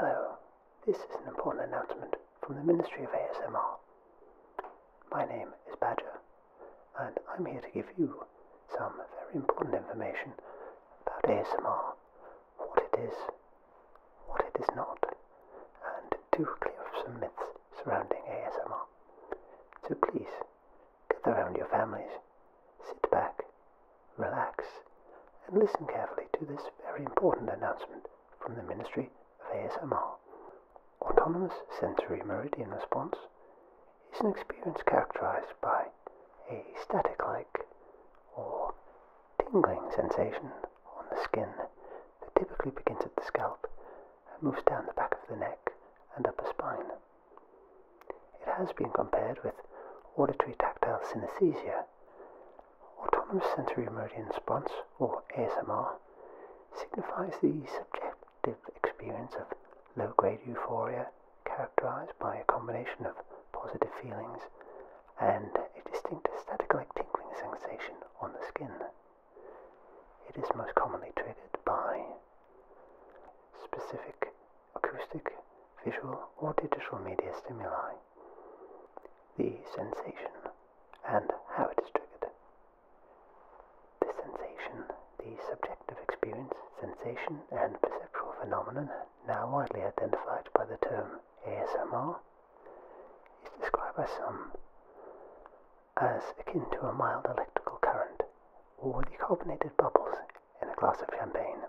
Hello, this is an important announcement from the Ministry of ASMR. My name is Badger and I'm here to give you some very important information about ASMR, what it is, what it is not, and to clear up some myths surrounding ASMR. So please, gather around your families, sit back, relax, and listen carefully to this very important announcement from the Ministry of ASMR. Autonomous sensory meridian response is an experience characterized by a static like or tingling sensation on the skin that typically begins at the scalp and moves down the back of the neck and upper spine. It has been compared with auditory tactile synesthesia. Autonomous sensory meridian response, or ASMR, signifies the subject experience of low grade euphoria characterized by a combination of positive feelings and a distinct aesthetic like tingling sensation on the skin. It is most commonly triggered by specific acoustic, visual, or digital media stimuli, the sensation, and how it is triggered the sensation, the subjective experience, sensation and perceptual phenomenon, now widely identified by the term ASMR, is described by some as akin to a mild electrical current or the carbonated bubbles in a glass of champagne.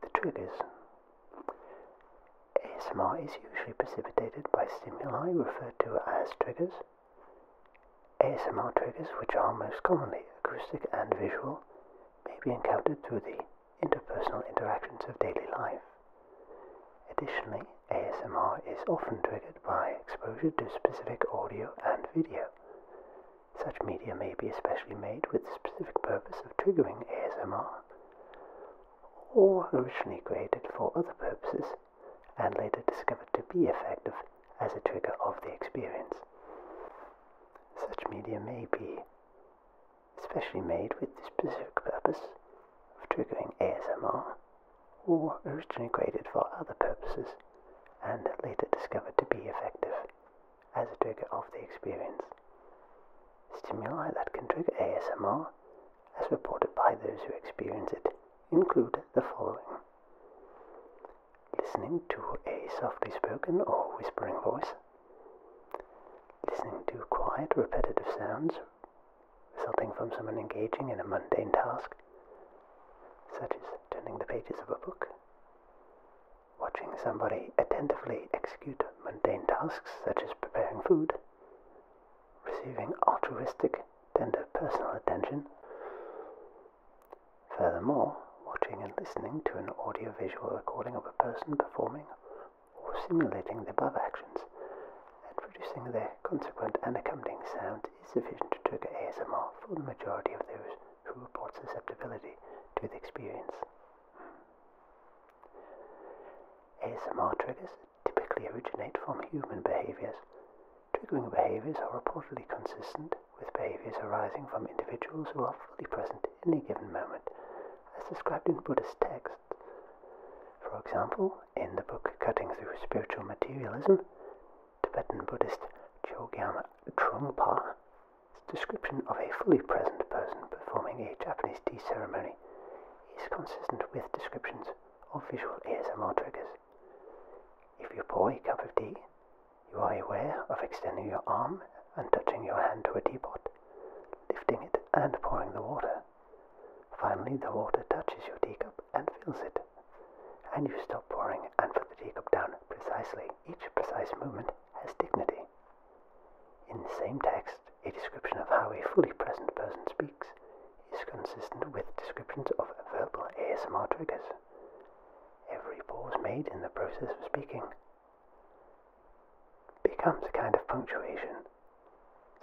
The truth is. ASMR is usually precipitated by stimuli referred to as triggers. ASMR triggers, which are most commonly acoustic and visual, may be encountered through the interpersonal interactions of daily life. Additionally, ASMR is often triggered by exposure to specific audio and video. Such media may be especially made with the specific purpose of triggering ASMR, or originally created for other purposes and later discovered to be effective as a trigger of the experience. Such media may be specially made with the specific purpose of triggering ASMR or originally created for other purposes and later discovered to be effective as a trigger of the experience. Stimuli that can trigger ASMR as reported by those who experience it, include the following listening to a softly spoken or whispering voice, listening to quiet, repetitive sounds resulting from someone engaging in a mundane task, such as turning the pages of a book, watching somebody attentively execute mundane tasks such as preparing food, receiving altruistic, tender personal attention. Furthermore, watching and listening to an audiovisual recording of a person performing or simulating the above actions and producing the consequent accompanying sound is sufficient to trigger ASMR for the majority of those who report susceptibility to the experience. ASMR triggers typically originate from human behaviors. Triggering behaviors are reportedly consistent with behaviors arising from individuals who are fully present in a given moment, as described in Buddhist texts. For example, in the book Cutting Through Spiritual Materialism, Tibetan Buddhist Chogyam Trungpa description of a fully present person performing a Japanese tea ceremony is consistent with descriptions of visual ASMR triggers. If you pour a cup of tea, you are aware of extending your arm and touching your hand to a teapot, lifting it and pouring the water. Finally, the water touches your teacup and fills it, and you stop pouring and put the teacup down precisely. Each precise movement has dignity. In the same text, a description of how a fully present person speaks is consistent with descriptions of verbal ASMR triggers. Every pause made in the process of speaking becomes a kind of punctuation.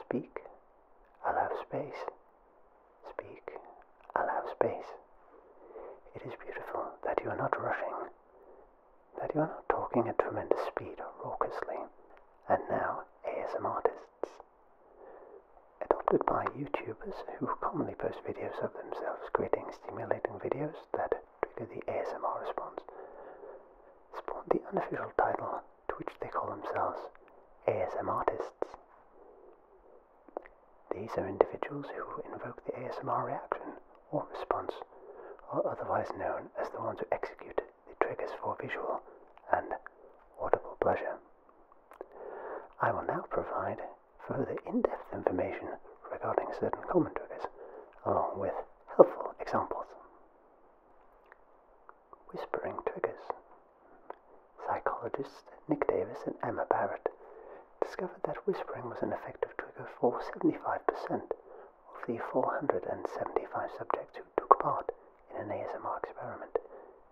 Speak, allow space. Speak, allow space. It is beautiful that you are not rushing, that you are not talking at tremendous speed or raucously. And now, ASMR artists. Adopted by YouTubers who commonly post videos of themselves creating stimulating videos that trigger the ASMR response, spawned the unofficial title to which they call themselves ASMR artists. These are individuals who invoke the ASMR reaction or response, or otherwise known as the ones who execute it triggers for visual and audible pleasure. I will now provide further in-depth information regarding certain common triggers, along with helpful examples. Whispering triggers. Psychologists Nick Davis and Emma Barrett discovered that whispering was an effective trigger for 75% of the 475 subjects who took part in an ASMR experiment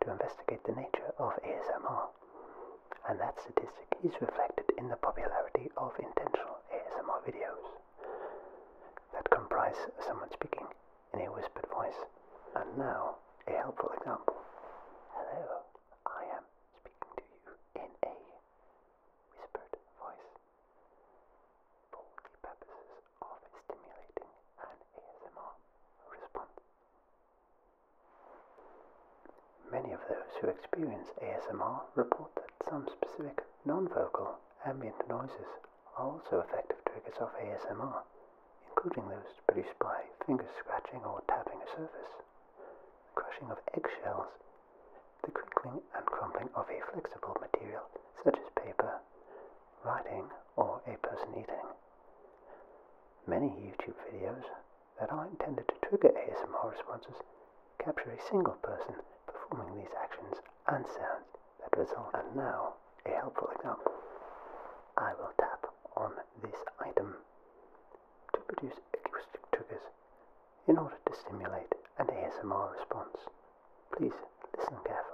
to investigate the nature of ASMR, and that statistic is reflected in the popularity of intentional ASMR videos that comprise someone speaking in a whispered voice. And now, a helpful example. Hello, I am speaking to you in a whispered voice. For the purposes of stimulating an ASMR response. Many of those who experience ASMR report that some specific non-vocal ambient noises are also effective triggers of ASMR, including those produced by finger scratching or tapping a surface, crushing of eggshells, the crinkling and crumbling of a flexible material, such as paper, writing, or a person eating. Many YouTube videos that are intended to trigger ASMR responses capture a single person performing these actions and sounds that result. And now, a helpful example. I will tap on this item to produce acoustic triggers in order to stimulate an ASMR response. Please listen carefully.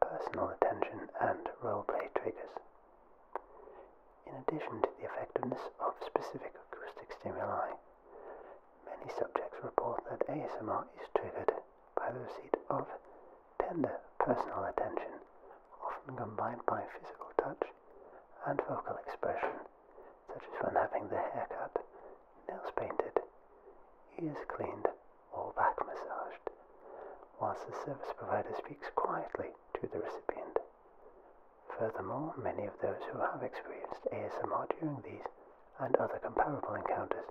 personal attention, and roleplay triggers. In addition to the effectiveness of specific acoustic stimuli, many subjects report that ASMR is triggered by the receipt of tender personal attention, often combined by physical touch and vocal expression, such as when having the haircut, nails painted, ears cleaned, or back massaged, whilst the service provider speaks quietly to the recipient. Furthermore, many of those who have experienced ASMR during these and other comparable encounters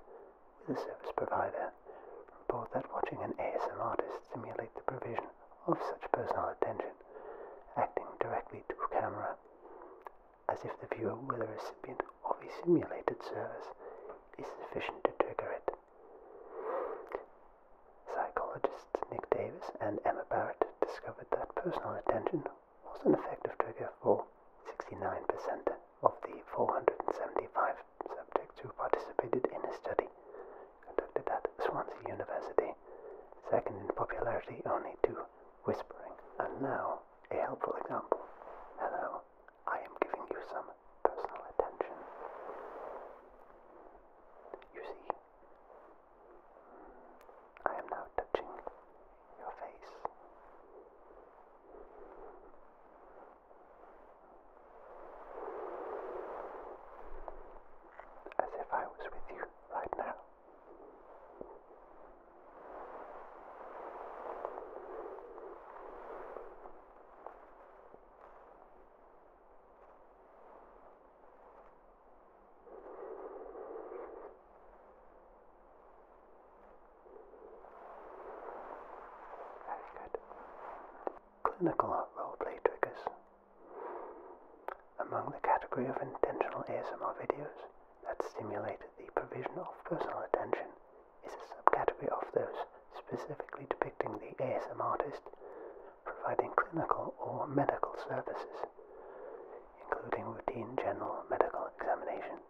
with a service provider report that watching an ASMR artist simulate the provision of such personal attention, acting directly to camera, as if the viewer were the recipient of a simulated service, is sufficient to trigger it. Psychologists Nick Davis and Emma Barrett discovered that personal attention was an effective trigger for 69% of the 475 subjects who participated in a study conducted at Swansea University, second in popularity only to whispering. And now, a helpful example. Hello, I am giving you some personal attention. You see, I am now touching your face. As if I was with you right now. Very good. Clinical roleplay triggers. Among the category of intentional ASMR videos, that stimulate the provision of personal attention is a subcategory of those specifically depicting the ASM artist providing clinical or medical services, including routine general medical examination.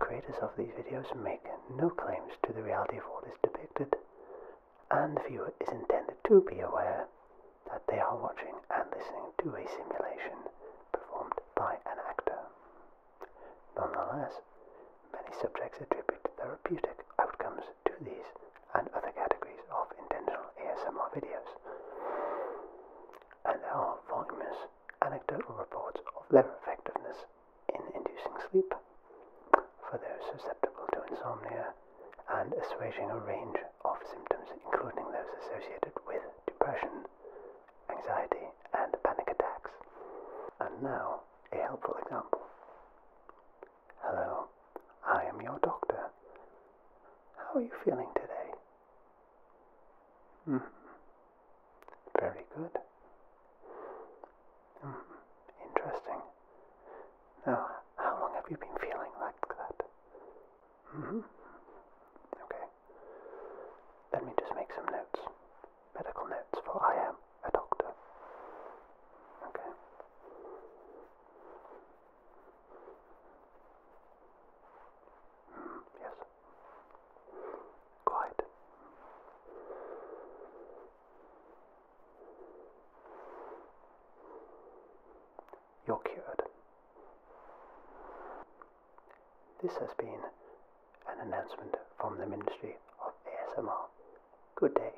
Creators of these videos make no claims to the reality of what is depicted, and the viewer is intended to be aware that they are watching and listening to a simulation performed by an actor. Nonetheless, many subjects attribute therapeutic outcomes to these and other categories of intentional ASMR videos, and there are voluminous anecdotal reports of their effectiveness in inducing sleep for those susceptible to insomnia and assuaging a range of symptoms, including those associated with depression, anxiety, and panic attacks. And now, a helpful example. Hello, I am your doctor. How are you feeling today? Mm. Very good. Mm. Interesting. Now, how long have you been feeling like that? Mm-hmm. Okay. Let me just make some notes. Medical notes, for I am a doctor. Okay. Mm, yes. Quite you're cured. This has been an announcement from the Ministry of ASMR. Good day.